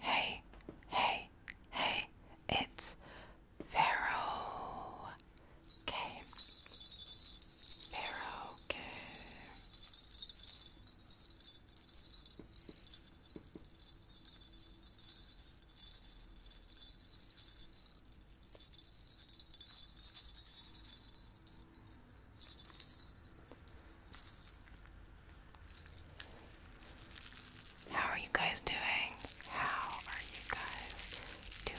Hey, hey, hey, it's Pharaoh. Okay. Pharaoh, okay. How are you guys doing? How are you guys doing?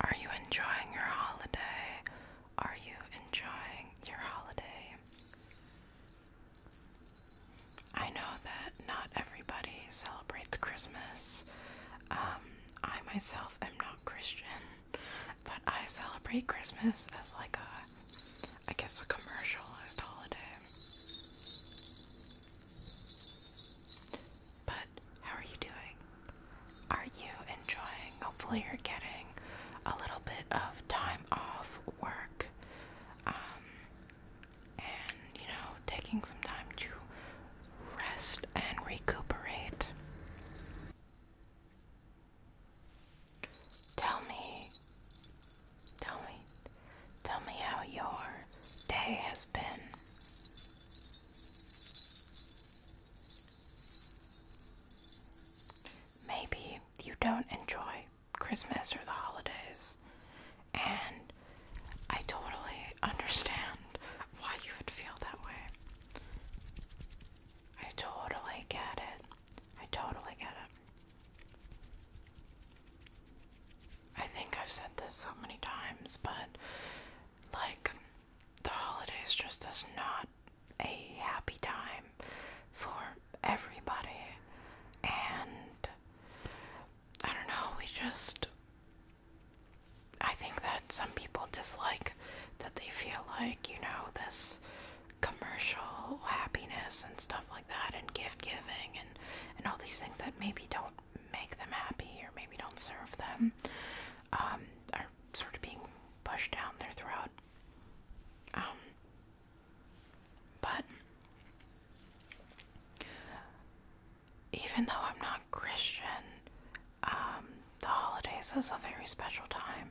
Are you enjoying your holiday? Are you enjoying your holiday? I know that not everybody celebrates Christmas. Um, I myself am not Christian, but I celebrate Christmas as like a, I guess, a commercialized holiday. But how are you doing? Are you enjoying? Hopefully, you're getting a little bit of time off work um, and, you know, taking some time to rest and recuperate. Tell me, tell me, tell me how your day has Maybe you don't enjoy Christmas or the holidays, and I totally understand why you would feel that way. I totally get it. I totally get it. I think I've said this so many times, but like the holidays just is not a happy time for everybody, and I don't know, we just. I think that some people dislike that they feel like, you know, this commercial happiness and stuff like that and gift giving and and all these things that maybe don't make them happy or maybe don't serve them um, are sort of being pushed down their throat. Um, but even though I'm not Christian, um, the holidays is a very special time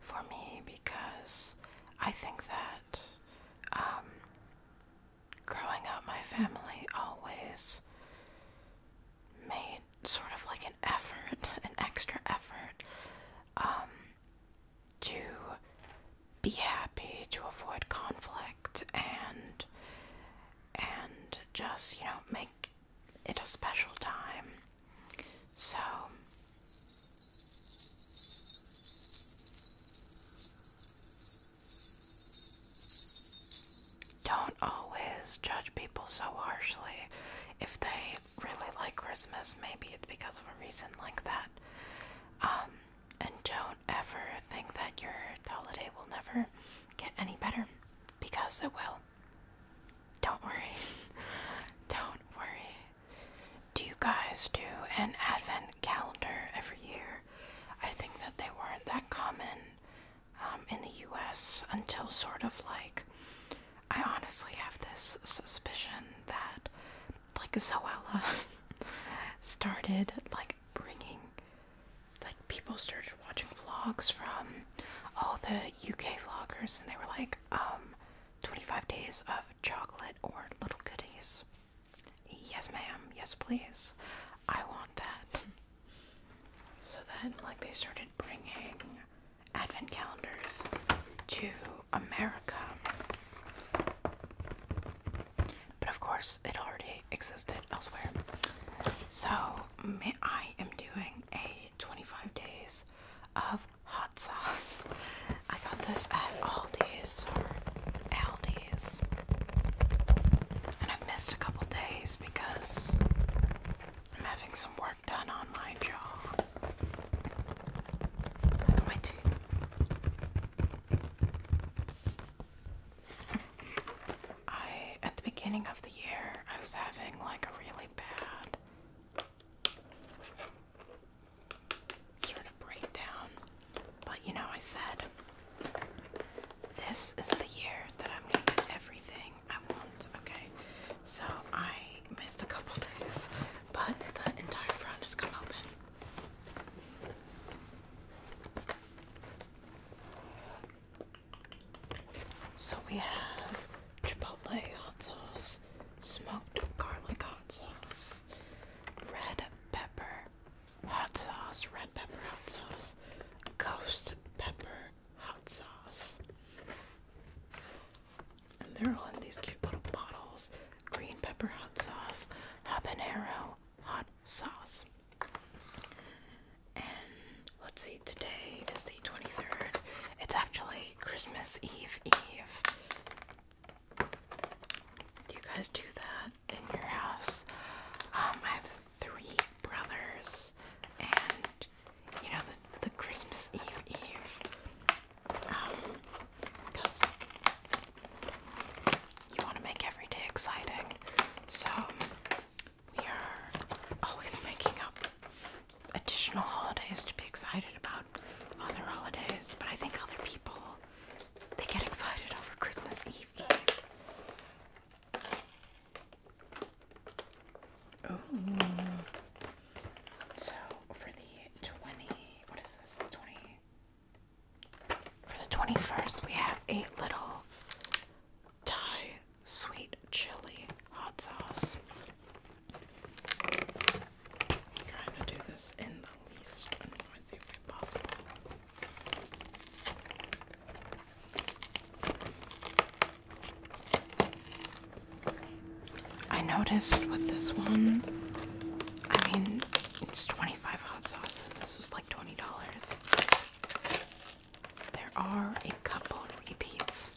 for me because I think that growing up, my family always made sort of like an effort, an extra effort, um, to be happy, to avoid conflict, and and just you know make it a special time. So don't always judge people so harshly. If they really like Christmas, maybe it's because of a reason like that. Um, and don't ever think that your holiday will never get any better because it will. Don't worry. don't worry. Do you guys do an advent calendar every year? I think that they weren't that common um, in the US until sort of like I honestly have this suspicion that like Zoella started like bringing like people started watching vlogs from all the UK vloggers and they were like um 25 days of chocolate or little goodies. Yes ma'am, yes please. I want that. So then, like, they started bringing advent calendars to America. But of course, it already existed elsewhere. So I am doing a 25 days of hot sauce. I got this at Aldi's or Aldi's. And I've missed a couple days because I'm having some work done on my jaw. My tooth. I, at the beginning of the year, I was having like a really bad sort of breakdown. But you know, I said, this is the year that I'm gonna get everything I will Okay. So I missed a couple days, but the entire front is gonna open. So we have chipotle hot sauce, smoked garlic hot sauce, red pepper hot sauce, red pepper hot sauce, ghost pepper hot sauce. And they're all in these cute little bottles. Green pepper hot sauce, habanero hot sauce. And let's see, today is the 23rd. It's actually Christmas Eve Eve. Do you guys do that in your house? Um, I have three brothers, and you know the, the Christmas Eve Eve, because um, you want to make every day exciting. So we are always making up additional holidays to be excited about other holidays, but I think other people they get excited over Christmas Eve Eve. Oh. So for the 20, what is this? 20. For the 21st, we have a little Thai sweet chili hot sauce. trying to do this in the least noisy way possible. I noticed with this one, I mean, it's 25 hot sauces. This was like $20. There are a couple repeats,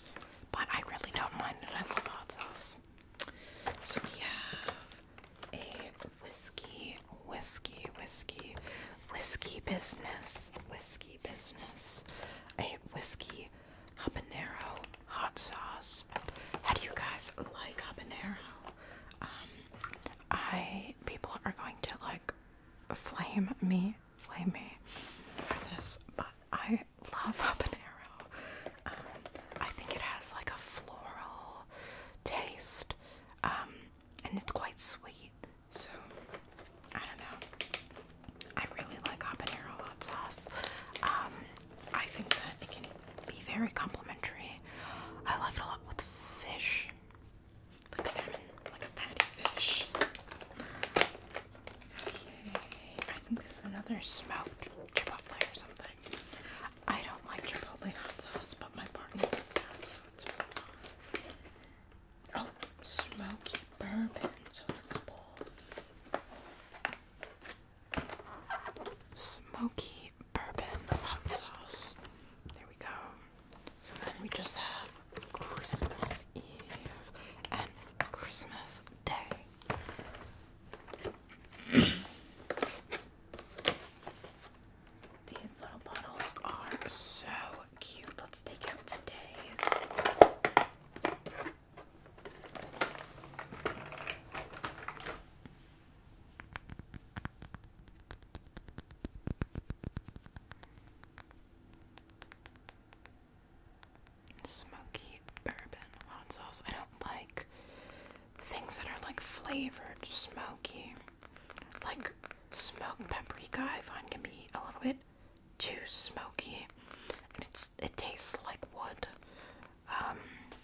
but I really don't mind it. I love hot sauce. So we have a whiskey, whiskey, whiskey whiskey business, whiskey business, a whiskey habanero hot sauce. How do you guys like habanero? Um, I people are going to like flame me, flame me for this, but I love habanero. Um, I think it has like a floral taste, um, and it's quite sweet. So, I don't know. I really like habanero hot sauce. Um, I think that it can be very complimentary. I like it a lot with fish, like salmon, like a fatty fish. Okay, I think this is another smoked chipotle or something. I don't like chipotle hot sauce, but my partner does, so it's fine. Oh, smoky bourbon. So it's smoky bourbon hot sauce. There we go. So then we just have Christmas Eve and Christmas Day. These little bottles are so cute. Let's take out today's. Smoky bourbon hot sauce. I don't like things that are like flavored, smoky. Like smoked paprika, I find can be a little bit too smoky, it's it tastes like wood. Um,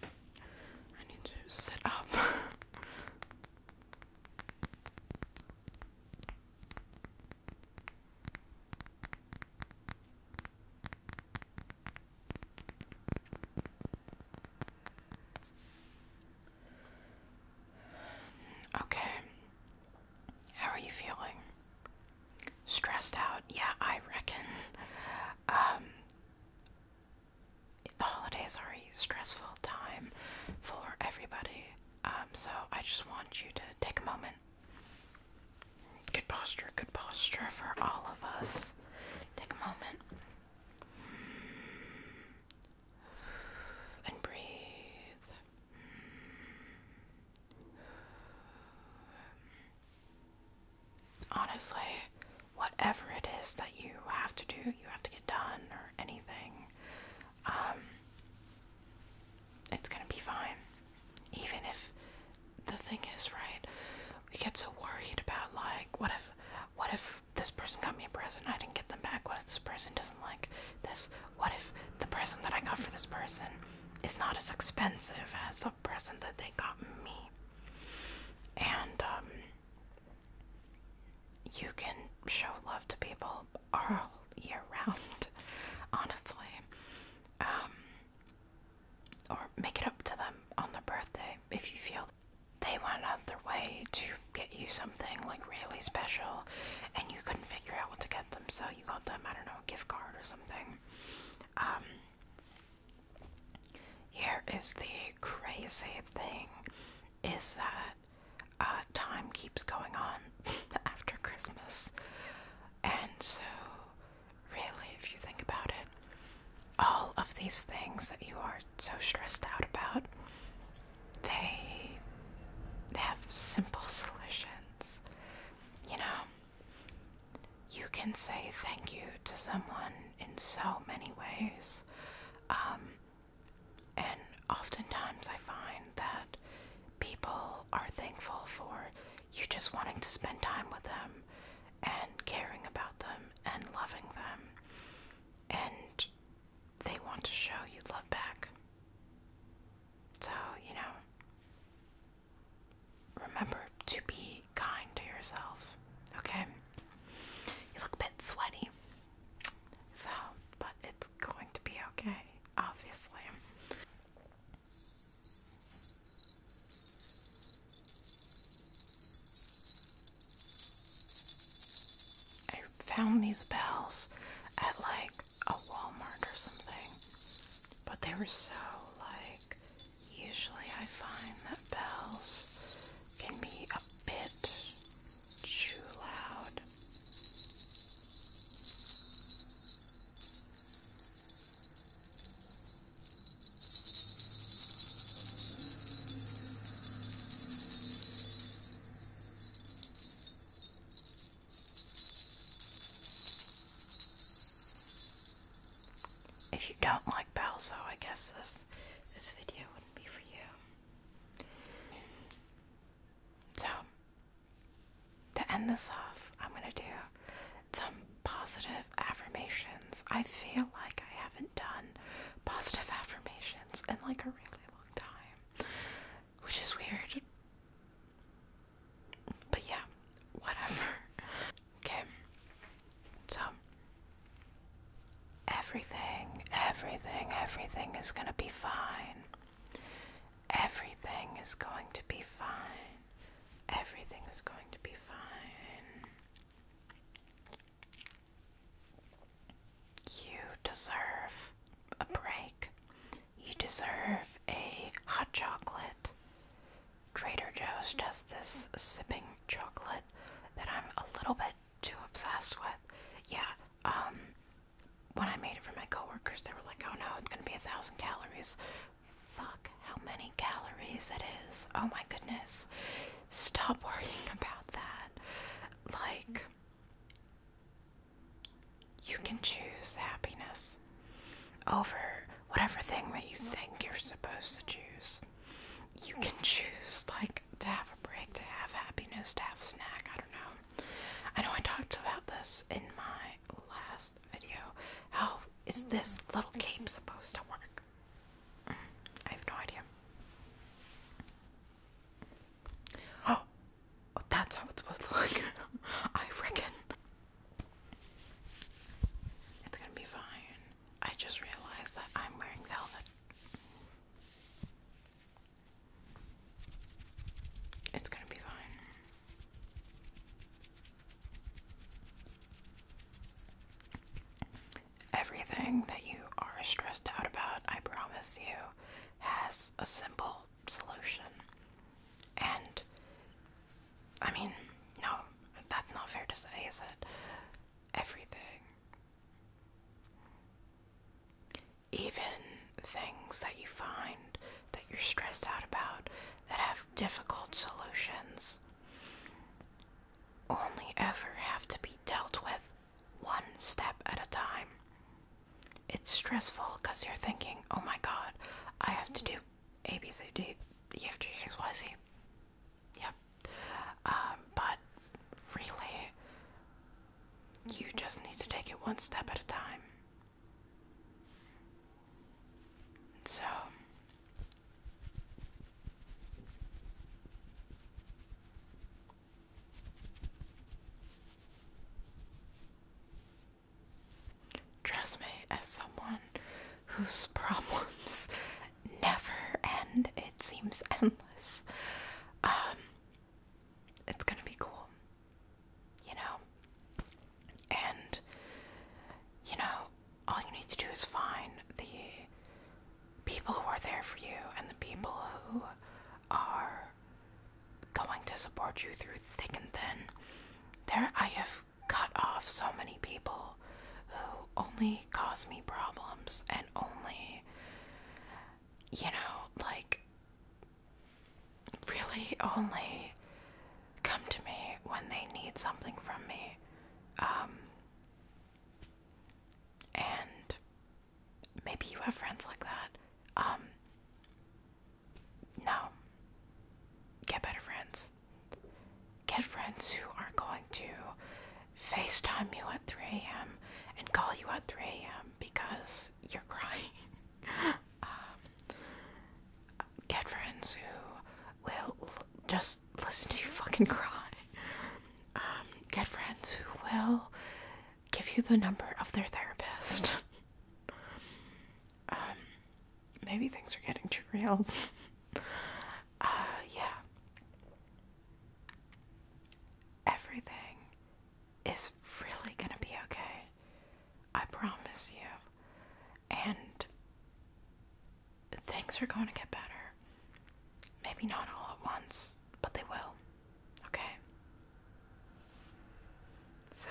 I need to sit up. okay, how are you feeling? Stressed out? Yeah, I reckon. Um, the holidays are a stressful time for everybody. Um, so I just want you to take a moment. Good posture, good posture for all of us. Take a moment. And breathe. Honestly, whatever it is that you have to do, you have to get done or anything, um, it's gonna be fine. Even if the thing is, right, we get so worried about like, what if, what if this person got me a present, I didn't get them back, what if this person doesn't like this? What if the person that I got for this person is not as expensive as the person that they got me? And um, you can show love to people all year round, honestly. Um, or make it up to them on their birthday if you feel they went out of their way to get you something like really special and you couldn't figure out what to get them, so you got them, I don't know, a gift card or something. Um, here is the crazy thing is that uh, time keeps going on after Christmas. And so, really, if you think about it, all of these things that you are so stressed out about, they have simple solutions you know, you can say thank you to someone in so many ways. Um, and oftentimes I find that people are thankful for you just wanting to spend time with them and caring about them and loving them. And they want to show you love back. So, you know, remember to be kind to yourself, okay? You look a bit sweaty. So, but it's going to be okay, obviously. I found these bells at like a Walmart or something. But they were so like, usually I find that bells can be a bit too loud. If you don't like bells, balzo, I guess this this video wouldn't be for you. So to end this off, I'm gonna do some positive affirmations. I feel like I haven't done positive affirmations in like a really long time, which is weird. But yeah, whatever. Okay. So everything, everything, everything is going to be fine. Everything is going to be fine. Everything is going to be fine. You deserve a break. You deserve a hot chocolate. Trader Joe's does this sipping chocolate that I'm a little bit too obsessed with. Yeah, um, when I made it for my coworkers, they were like, oh no, it's gonna be a thousand calories. Fuck how many calories it is. Oh my goodness. Stop worrying about that. Like, you can choose happiness over whatever thing that you think you're supposed to choose. You can choose, like, to have a break, to have happiness, to have snack. I don't know. I know I talked about this in my last video. How is this little cape supposed to work? Mm, I have no idea. Oh, Oh, that's how it's supposed to look. I reckon. It's gonna be fine. I just realized that I'm wearing velvet. It's gonna be fine. Everything that you are stressed out about, I promise you, has a simple solution. And I mean, no, that's not fair to say, is it? Everything. Even things that you find that you're stressed out about that have difficult solutions only ever have to be dealt with one step at a time it's stressful because you're thinking, oh my god, I have to do A, B, C, D, E, F, G, X, Y, Z. Yep. Um, but really, you just need to take it one step at a time. So. Trust me, as someone whose problems never end, it seems endless. Um, it's gonna be cool, you know? And, you know, all you need to do is find the people who are there for you and the people who are going to support you through thick and thin. There, I have cut off so many people who only cause me problems and only, you know, like really only come to me when they need something from me. Um, and maybe you have friends like that. Um, no. Get better friends. Get friends who are going to FaceTime you at 3 a.m. and call you at 3 a.m. because you're crying. um, get friends who will just listen to you fucking cry. Um, get friends who will give you the number of their therapist. Um, maybe things are getting too real. Uh, yeah. Everything is really gonna be okay. I promise you. And things are going to get better. Maybe not all at once, but they will. Okay? So,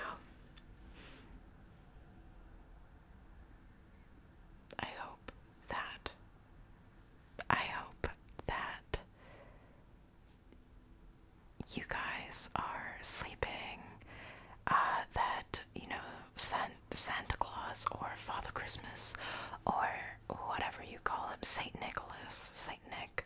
I hope that, I hope that you guys are sleeping, uh, that, you know, San Santa Claus or Father Christmas or whatever you call him, Saint Nicholas, Saint Nick,